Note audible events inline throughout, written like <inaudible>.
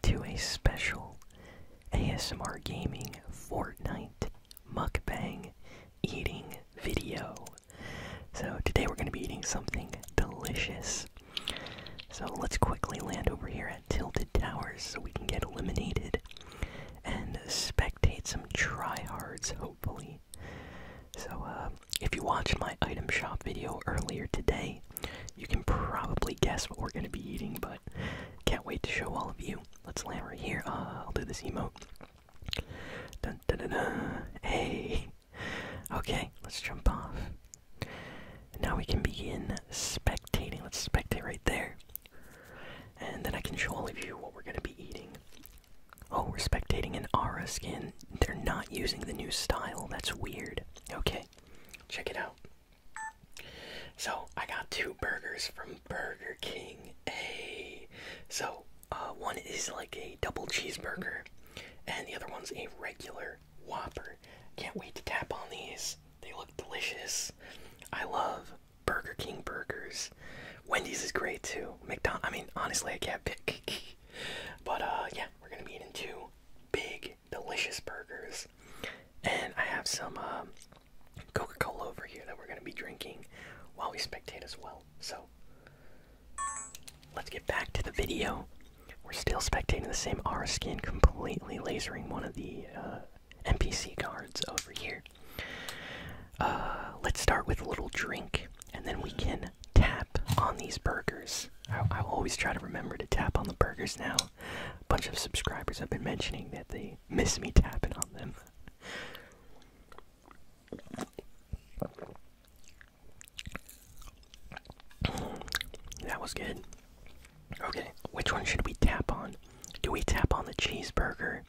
to a special ASMR Gaming Fortnite mukbang eating video. So, today we're going to be eating something delicious. So, let's quickly land over here at Tilted Towers so we can get eliminated and spectate some tryhards, hopefully. So, uh, if you watched my item shop video earlier today, you can probably guess what we're gonna be eating, but can't wait to show all of you. Let's land right here. Uh, I'll do this emote. Dun, dun, dun, dun. Hey. Okay, let's jump off. Now we can begin spectating. Let's spectate right there. And then I can show all of you what we're gonna be eating. Oh, we're spectating an Aura skin. They're not using the new style. That's weird. Okay, check it out. So I got two burgers from Burger King. A so uh, one is like a double cheeseburger, and the other one's a regular Whopper. Can't wait to tap on these. They look delicious. I love Burger King burgers. Wendy's is great too. McDonald. I mean, honestly, I can't pick. <laughs> but uh, yeah, we're gonna be eating two big delicious burgers. And I have some um, Coca Cola over here that we're going to be drinking while we spectate as well. So let's get back to the video. We're still spectating the same R skin, completely lasering one of the uh, NPC guards over here. Uh, let's start with a little drink, and then we can tap on these burgers. I, I always try to remember to tap on the burgers now a bunch of subscribers have been mentioning that they miss me tapping on them. That was good. Okay, which one should we tap on? Do we tap on the cheeseburger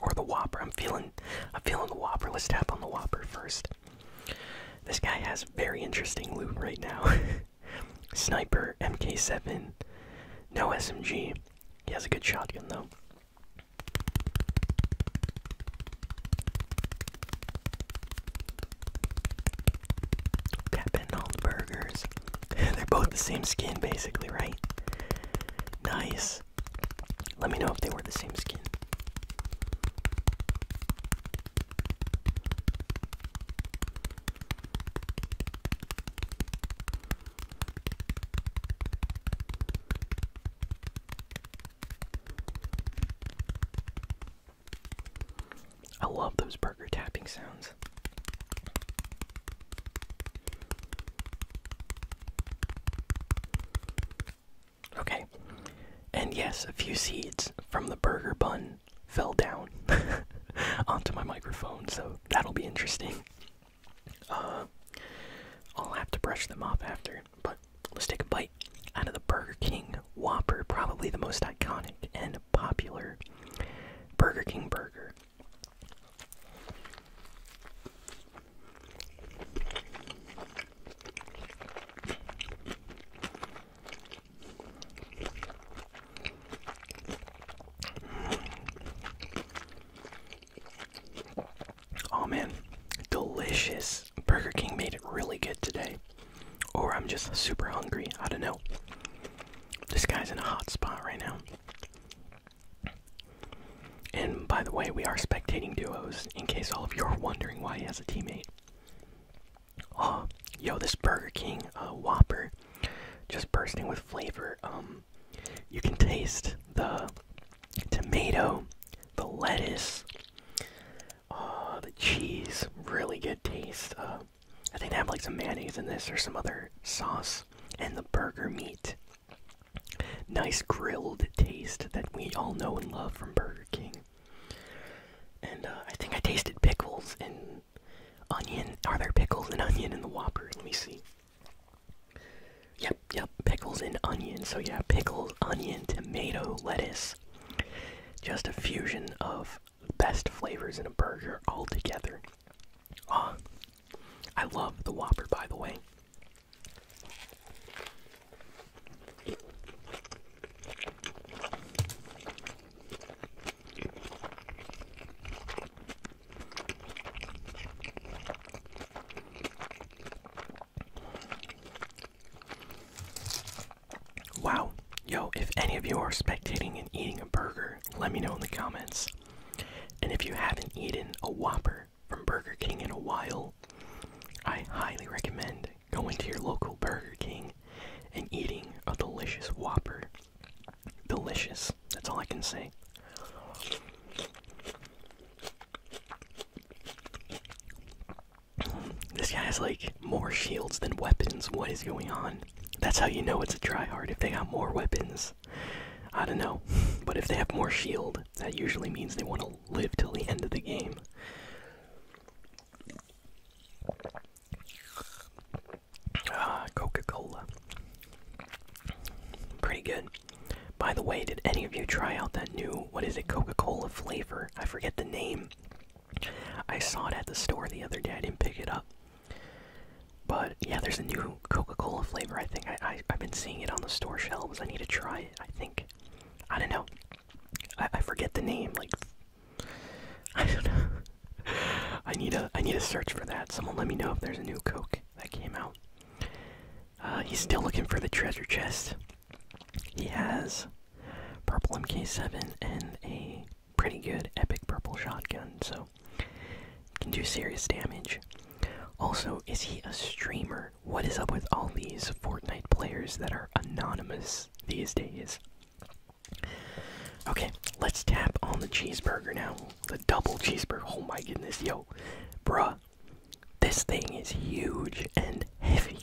or the Whopper? I'm feeling, I'm feeling the Whopper. Let's tap on the Whopper first. This guy has very interesting loot right now. <laughs> Sniper, MK7, no SMG. He has a good shotgun though. Tapping all the burgers. <laughs> They're both the same skin basically, right? Nice. Let me know if they were the same skin. I love those burger tapping sounds. Okay, and yes, a few seeds from the burger bun fell down <laughs> onto my microphone, so that'll be interesting. Uh, I'll have to brush them off after, but let's take a bite out of the Burger King Whopper, probably the most iconic and popular Burger King burger. Oh man, delicious. Burger King made it really good today. Or I'm just super hungry. I don't know. This guy's in a hot spot right now. And by the way, we are spectating duos in case all of you are wondering why he has a teammate. Oh, yo, this Burger King uh, Whopper just bursting with flavor. Um, you can taste the tomato, the lettuce, uh, the cheese. Really good taste. Uh, I think they have like some mayonnaise in this or some other sauce, and the burger meat. Nice grilled taste that we all know and love from Burger King. And uh, I think I tasted pickles and onion. Are there pickles and onion in the Whopper? Let me see. Yep, yep, pickles and onion. So yeah, pickles, onion, tomato, lettuce. Just a fusion of best flavors in a burger all together. Ah, I love the Whopper, by the way. Wow. Yo, if any of you are spectating and eating a burger, let me know in the comments. And if you haven't eaten a Whopper from Burger King in a while, I highly recommend going to your local Burger King and eating a delicious Whopper. Delicious. That's all I can say. This guy has like more shields than weapons. What is going on? That's how you know it's a tryhard if they have more weapons. I don't know, <laughs> but if they have more shield, that usually means they want to live till the end of the game. Ah, Coca Cola. Pretty good. By the way, did any of you try out that new, what is it, Coca Cola flavor? I forget the name. I saw it at the store the other day, I didn't pick it up. But yeah, there's a new Coca Cola flavor, I think. I, I, I've been seeing it on the store shelves. I need to try it, I think. I don't know. I, I forget the name, like <laughs> I don't know. I need a I need a search for that. Someone let me know if there's a new Coke that came out. Uh, he's still looking for the treasure chest. He has purple MK7 and a pretty good epic purple shotgun, so can do serious damage. Also, is he a streamer? What is up with all these Fortnite players that are anonymous these days? Okay, let's tap on the cheeseburger now. The double cheeseburger. Oh my goodness, yo. Bruh, this thing is huge and heavy.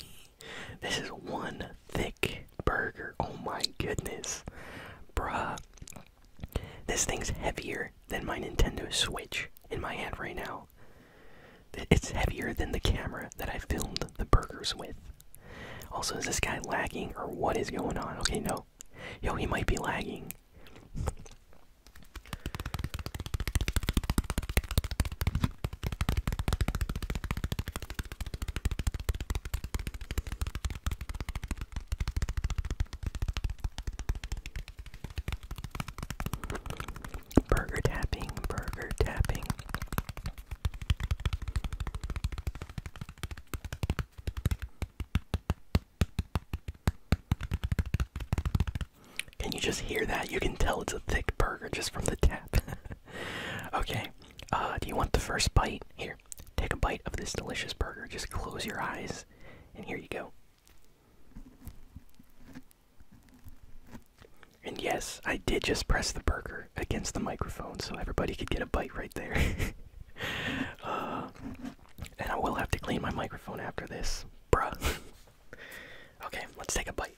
This is one thick burger. Oh my goodness. Bruh. This thing's heavier than my Nintendo Switch in my hand right now. It's heavier than the camera that I filmed the burgers with. Also, is this guy lagging or what is going on? Okay, no. Yo, he might be lagging. Burger tapping, burger tapping. Can you just hear that? You can tell it's a thick burger just from the tap. <laughs> okay, uh, do you want the first bite? Here, take a bite of this delicious burger. Just close your eyes, and here you go. And yes, I did just press the burger against the microphone so everybody could get a bite right there. <laughs> Uh, and I will have to clean my microphone after this, bruh. <laughs> okay, let's take a bite.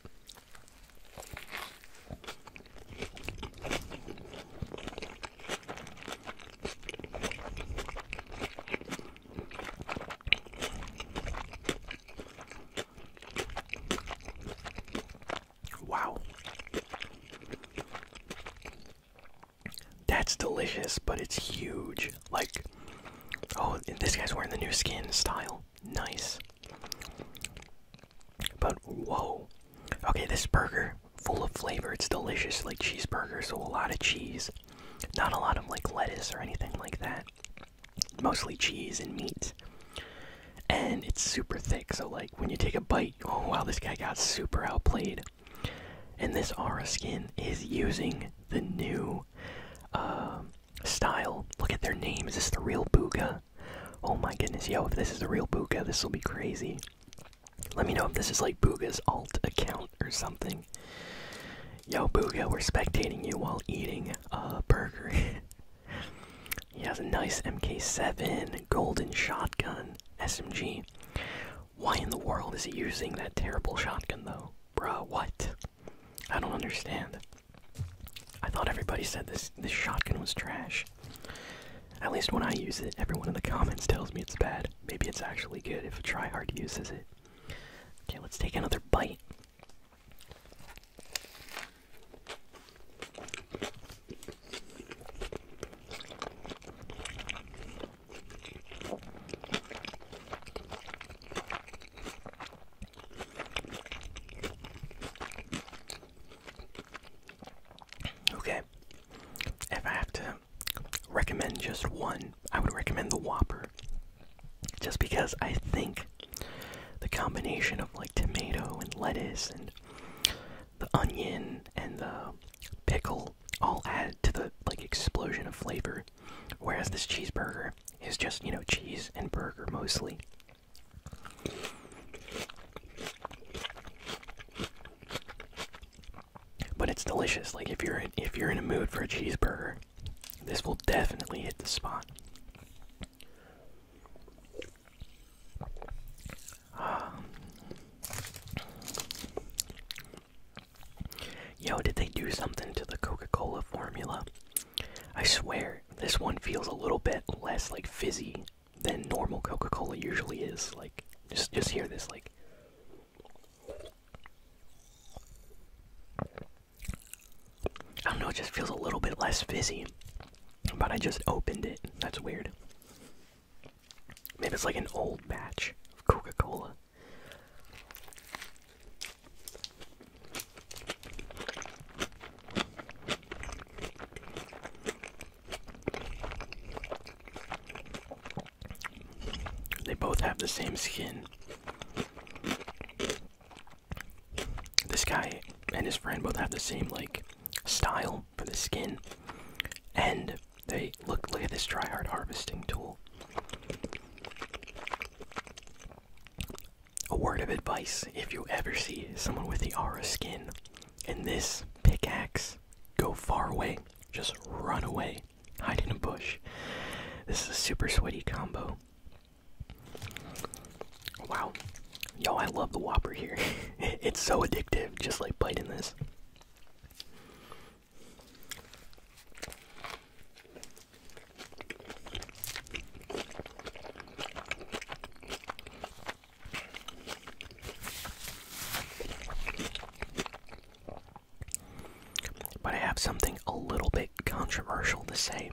Wow. That's delicious, but it's huge. Like, oh, this guy's wearing the new skin style. Nice. But whoa. Okay, this burger, full of flavor. It's delicious, like cheeseburger, so a lot of cheese. Not a lot of like lettuce or anything like that mostly cheese and meat. And it's super thick, so like when you take a bite, oh wow, this guy got super outplayed. And this Aura skin is using the new uh, style. Look at their names. Is this the real Booga? Oh my goodness, yo, if this is the real Booga, this will be crazy. Let me know if this is like Booga's alt account or something. Yo, Booga, we're spectating you while eating a burger. <laughs> He has a nice MK7 golden shotgun SMG. Why in the world is he using that terrible shotgun though? Bruh, what? I don't understand. I thought everybody said this this shotgun was trash. At least when I use it, everyone in the comments tells me it's bad. Maybe it's actually good if a tryhard uses it. Okay, let's take another bite. Okay, if I have to recommend just one, I would recommend the Whopper. Just because I think the combination of like tomato and lettuce and the onion and the pickle all add to the like explosion of flavor whereas this cheeseburger is just you know cheese and burger mostly but it's delicious like if you're in, if you're in a mood for a cheeseburger this will definitely hit the spot Yo, did they do something to the Coca Cola formula? I swear, this one feels a little bit less like fizzy than normal Coca Cola usually is. Like, just, just hear this, like. I don't know, it just feels a little bit less fizzy. But I just opened it. That's weird. Maybe it's like an old batch of Coca Cola. They both have the same skin. This guy and his friend both have the same like style for the skin, and they look. Look at this hard harvesting tool. A word of advice: if you ever see someone with the aura skin and this pickaxe, go far away. Just run away. Hide in a bush. This is a super sweaty combo. Wow. Yo, I love the Whopper here. <laughs> it's so addictive, just like biting this. But I have something a little bit controversial to say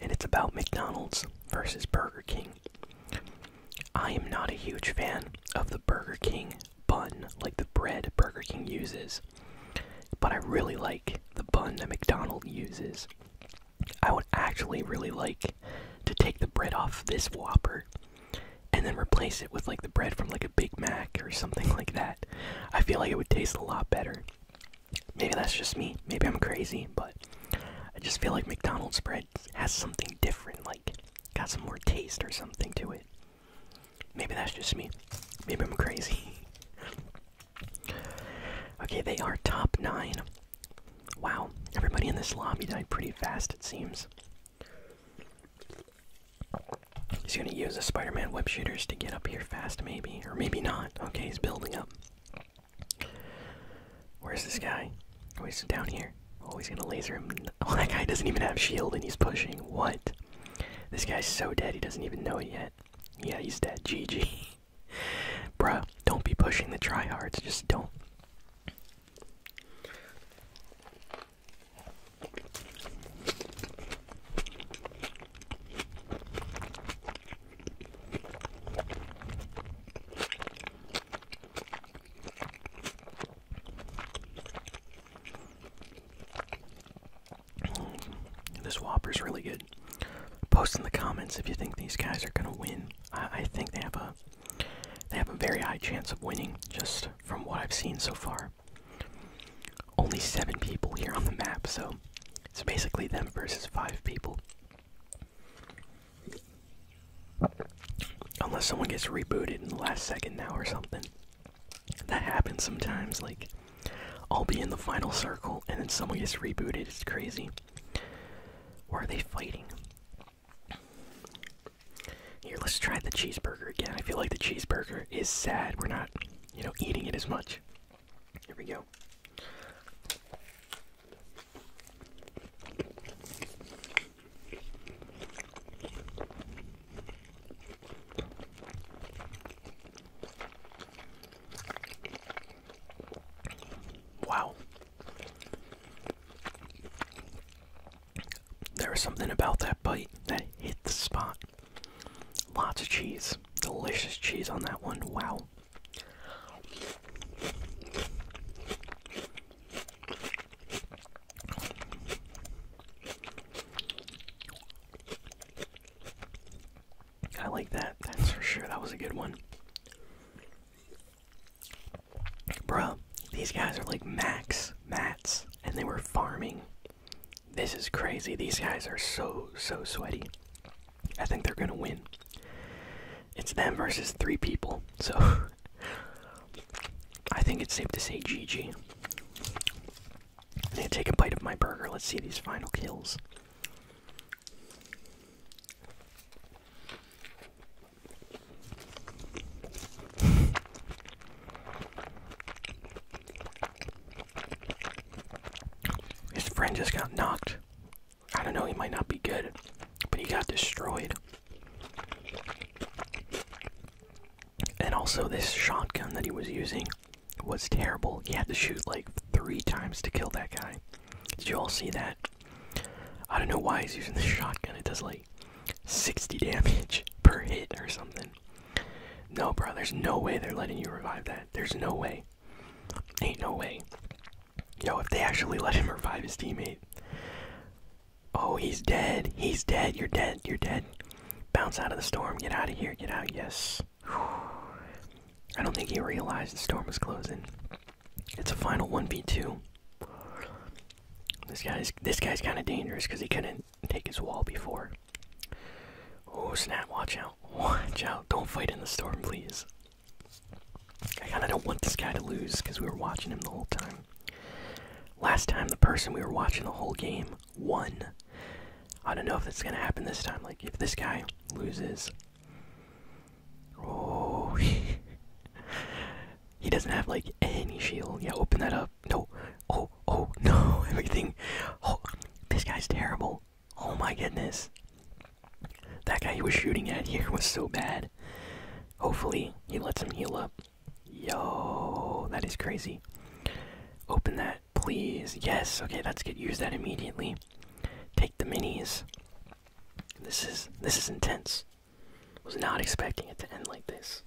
and it's about McDonald's versus Burger King. I am not a huge fan of the Burger King bun, like the bread Burger King uses, but I really like the bun that McDonald's uses. I would actually really like to take the bread off this Whopper and then replace it with like the bread from like a Big Mac or something <laughs> like that. I feel like it would taste a lot better. Maybe that's just me. Maybe I'm crazy, but I just feel like McDonald's bread has something different, like got some more taste or something to it. Maybe that's just me. Maybe I'm crazy. <laughs> okay, they are top nine. Wow, everybody in this lobby died pretty fast, it seems. He's gonna use the Spider-Man web shooters to get up here fast, maybe, or maybe not. Okay, he's building up. Where's this guy? Oh, he's down here. Oh, he's gonna laser him. <laughs> Oh, that guy doesn't even have shield, and he's pushing. What? This guy's so dead, he doesn't even know it yet. Yeah, he's dead. GG. <laughs> Bruh, don't be pushing the tryhards. Just don't. This whopper is really good. Post in the comments if you think these guys are gonna win. I, I think they have a they have a very high chance of winning just from what I've seen so far only seven people here on the map, so it's basically them versus five people. Unless someone gets rebooted in the last second now or something. That happens sometimes, like, I'll be in the final circle and then someone gets rebooted, it's crazy. Or are they fighting? Here, let's try the cheeseburger again. I feel like the cheeseburger is sad. We're not, you know, eating it as much much. Here we go. Wow. There is something about that bite that hit the spot. Lots of cheese. Delicious cheese on that one. Wow. I like that. That's for sure. That was a good one. bro. these guys are like Max, Mats, and they were farming this is crazy. These guys are so, so sweaty. I think they're going to win. It's them versus three people, so <laughs> I think it's safe to say GG. I'm going to take a bite of my burger. Let's see these final kills. His friend just got knocked. I don't know, he might not be good, but he got destroyed. And also, this shotgun that he was using was terrible. He had to shoot like three times to kill that guy. Did you all see that? I don't know why he's using the shotgun. It does like 60 damage <laughs> per hit or something. No, bro, there's no way they're letting you revive that. There's no way. Ain't no way. Yo, if they actually let him revive his teammate. Oh, he's dead. He's dead. You're dead. You're dead. Bounce out of the storm. Get out of here. Get out. Yes. I don't think he realized the storm was closing. It's a final 1v2. This guy's this guy's kind of dangerous because he couldn't take his wall before. Oh snap, watch out. <laughs> Watch out. Don't fight in the storm, please. I kinda don't want this guy to lose because we were watching him the whole time. Last time the person we were watching the whole game won. I don't know if that's gonna happen this time. Like if this guy loses. Oh <laughs> he doesn't have like any shield. Yeah, open that up. No. Oh, oh, <laughs> no. Everything. Oh, this guy's terrible. Oh my goodness. That guy he was shooting at here was so bad. Hopefully, he lets him heal up. Yo, that is crazy. Open that, please. Yes, okay, let's get use that immediately. Take the minis. This is this is intense. Was not expecting it to end like this.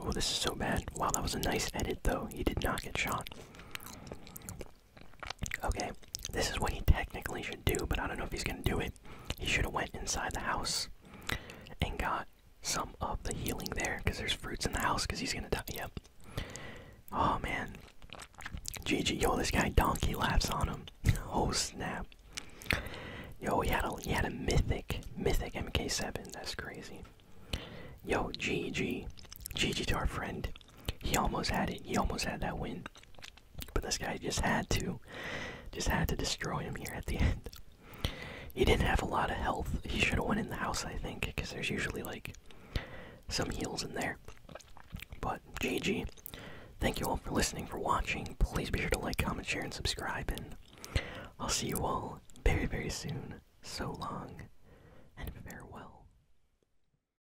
Oh, this is so bad. Wow, that was a nice edit, though. He did not get shot. Okay, this is what he technically should do, but I don't know if he's gonna do it. He should have went inside the house and got some of the healing there, because there's fruits in the house, because he's gonna die. Yep. Oh man. GG, yo, this guy donkey laughs on him. <laughs> Oh snap. Yo, he had a he had a mythic, mythic MK7. That's crazy. Yo, GG, GG to our friend. He almost had it. He almost had that win. But this guy just had to, just had to destroy him here at the end. He didn't have a lot of health. He should have went in the house, I think, because there's usually like some heals in there. But GG. Thank you all for listening, for watching. Please be sure to like, comment, share, and subscribe. And I'll see you all very, very soon. So long and farewell.